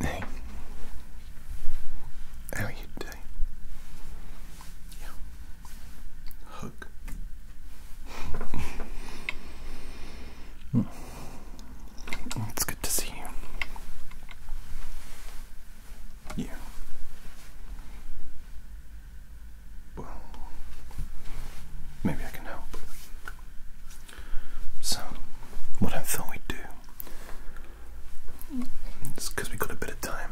Hey, how you today? Yeah, hug. It's good to see you. Yeah. Well, maybe I can help. So, what I thought we'd do, it's because we got a bit of time,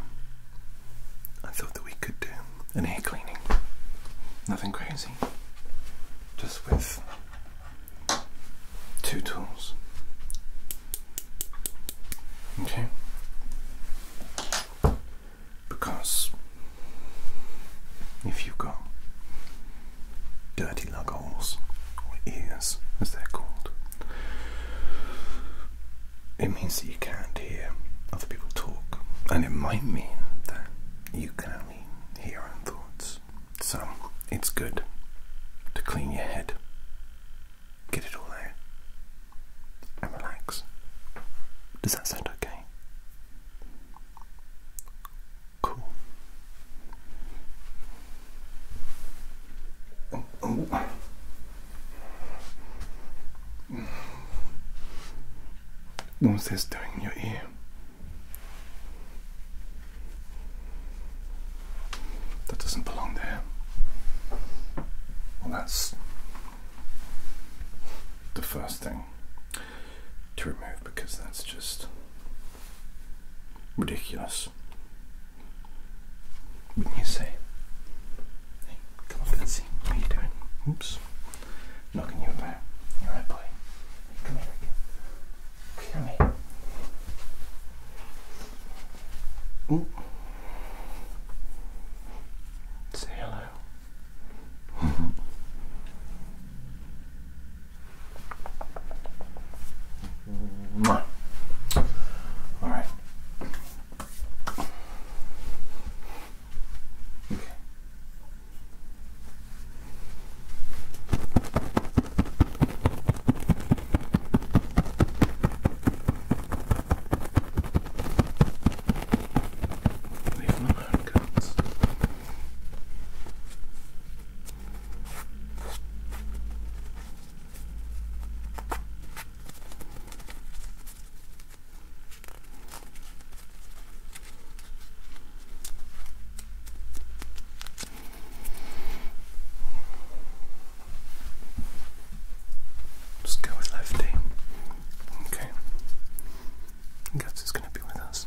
I thought that we could do an air cleaning. Nothing crazy, just with two tools. Okay? Because if you've got dirty lug holes, or ears as they're called, it means that you can't hear other people talk, and it might mean that you can only hear your own thoughts. So it's good to clean your head, get it all out, and relax. Does that sound okay? Cool. Oh, oh, What's this doing in your ear? That doesn't belong there. Well, that's the first thing to remove because that's just ridiculous. Wouldn't you say? come on, Betsy. What you doing? Oops. Knocking you about. You're right, boy. come here again. Come here. Ooh. Say hello. All right. Okay. Leave them alone cups. Just go with lefty. Okay. Guts is going to be with us.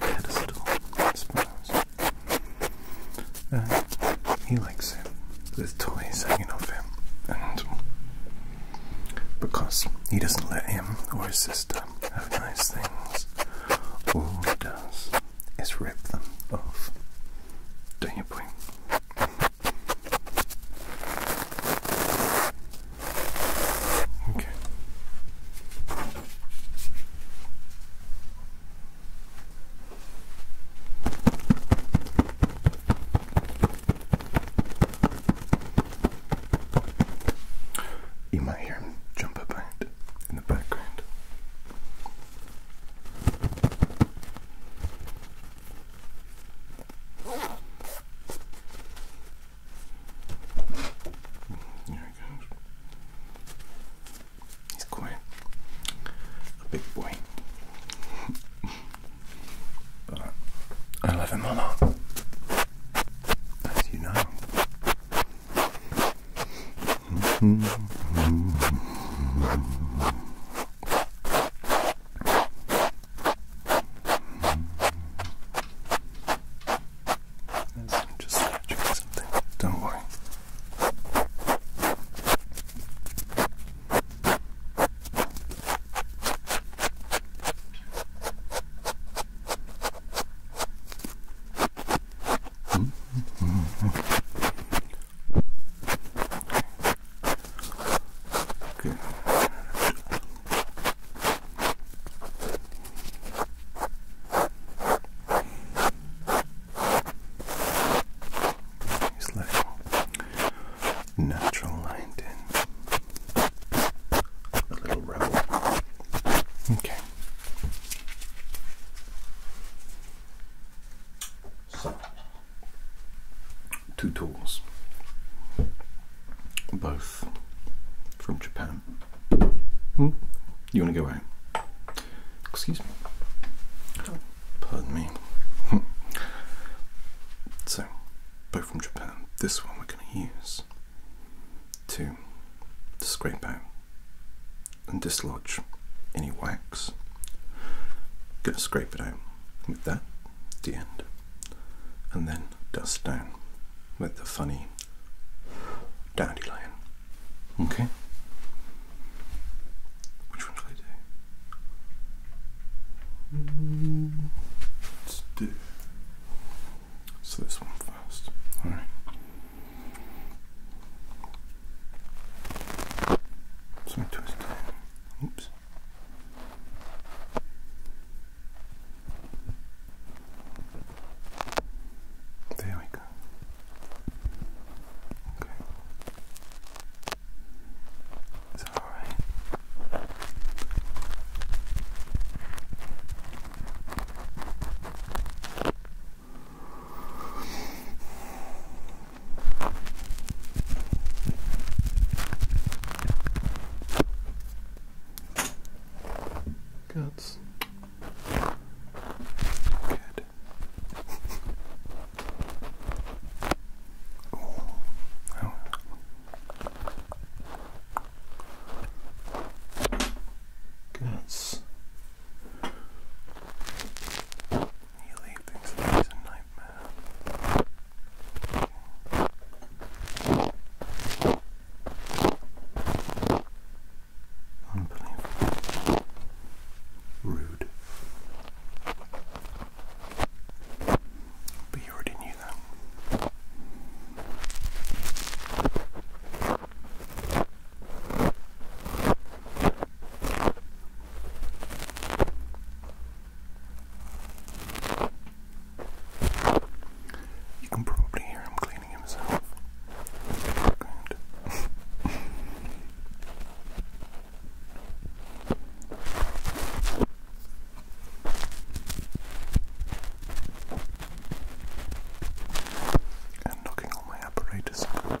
pedestal, I suppose. Uh, he likes him There's toys hanging off him, and because he doesn't let him or his sister have nice things, all he does is rip them off. Don't you, boy? Okay. You might hear him jump about in the background. There he goes. He's quite a big boy. but I love him a As you know. It's just scratching something. Don't worry. -hmm. hmm, hmm, hmm. okay. It's like natural light in a little rebel. Okay. So, two tools, both from Japan. Hmm? You want to go away? Excuse me. Pardon me. so, both from Japan. This one we're going to use to scrape out and dislodge any wax. Going to scrape it out with that, the end, and then dust down with the funny Dandelion. Okay? Which one should I do? Let's do. So this one first. Alright. So twist. Oops. There we go. Okay. Is alright? Guts. Good. Oh. Goodness. You leave things a nightmare. Okay. Unbelievable. Rude. But you already knew that. You can probably hear him himself. and knocking all my apparatus out.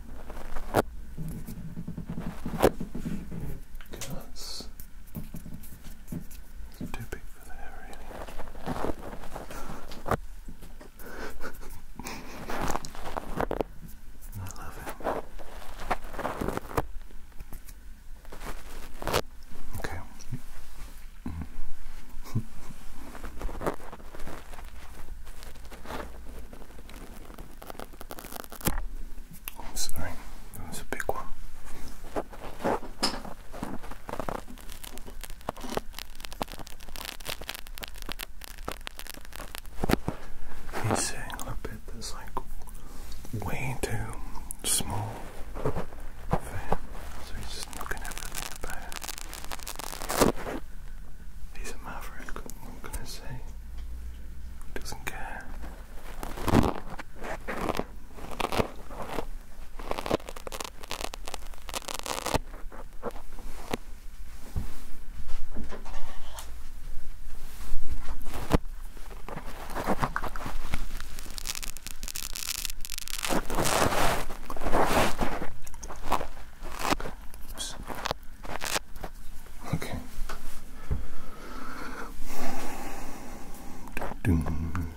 Okay, too big for there, really. I love him. Okay. I'm oh, sorry, that was a big one. He's saying a bit that's like way too small for so he's just not gonna He's a maverick, what can I say? doesn't care. Oops. Okay. Dun -dun.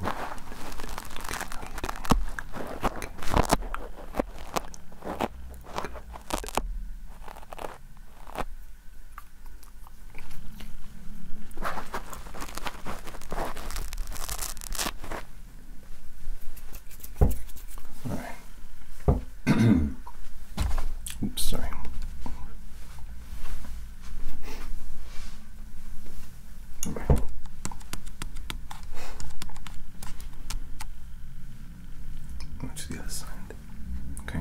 Okay. Okay. Okay. All right. Oops, sorry. All right. To the other side. Okay.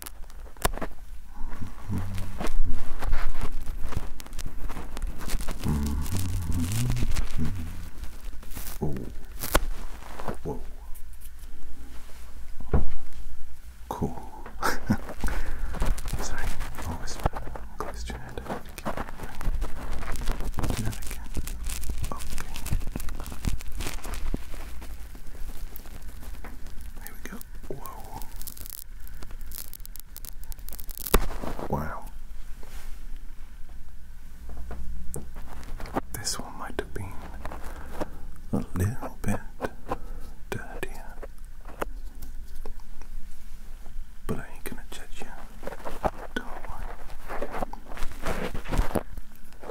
Oh. Whoa. Cool. Sorry, always close to your head. I want to keep it. Do that again. Okay. There we go. Whoa. Wow. This one might have been a little bit dirtier. But I ain't gonna judge you. do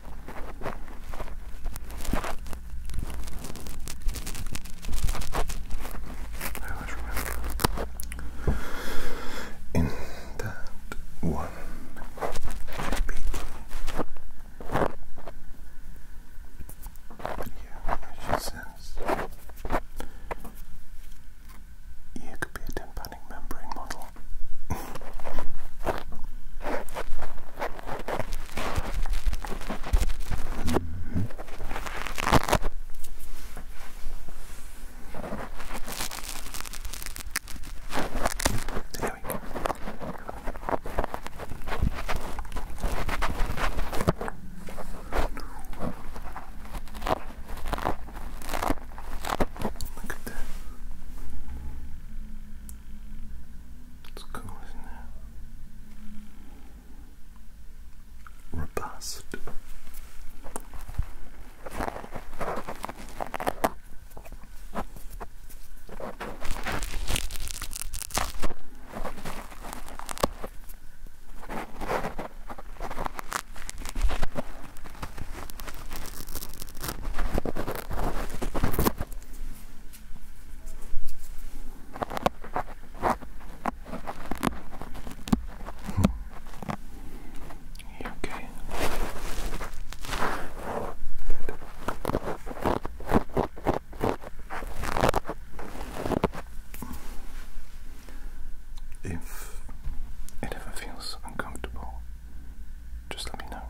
I in that one beat. Yeah, she says you could be a expanding membrane model. There we go. Look at that. It's cool, isn't it? Robust. You hmm, okay? If it ever feels uncomfortable, just let me know.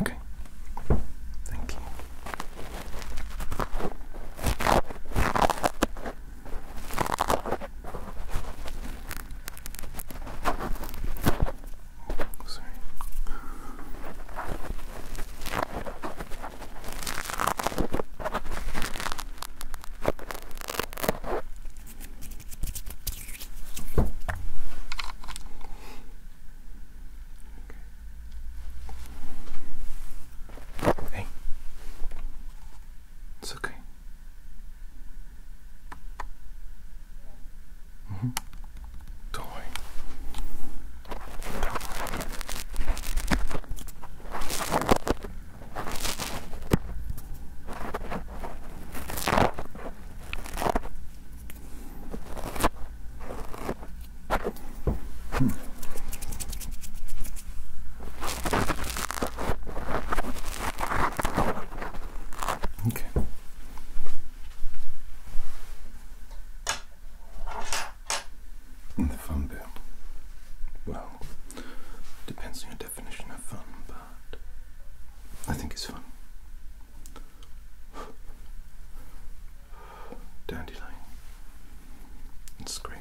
Okay. Thank you. Sorry. Hey. It's okay. -hmm. Don't worry. do Hmm. Okay. the fun bit. Well, depends on your definition of fun. I think it's fun. Dandelion. It's great.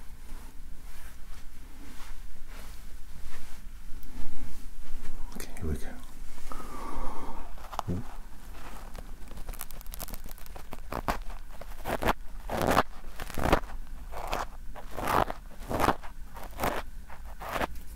Okay, here we go.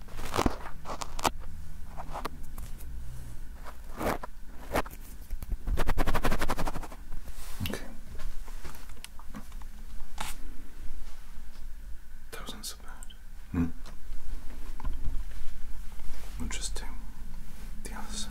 Okay. That wasn't so bad. Hmm. We'll just do the other side.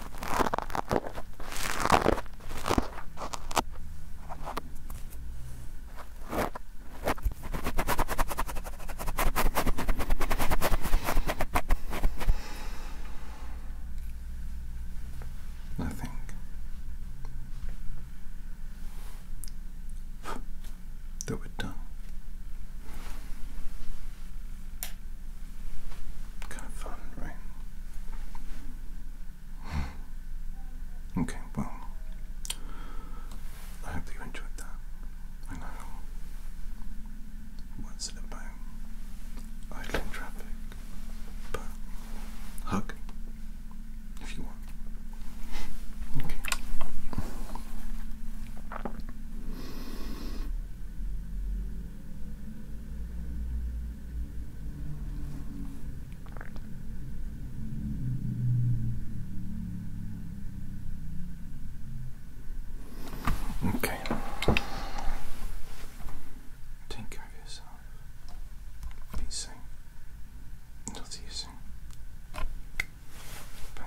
Nothing. Do it done. Kind of fun, right? okay, well, I hope you enjoyed that. I know. What's it about? Idling traffic. But hug if you want. Okay. Okay. Take care of yourself. Be safe. I'll see you soon. Bye.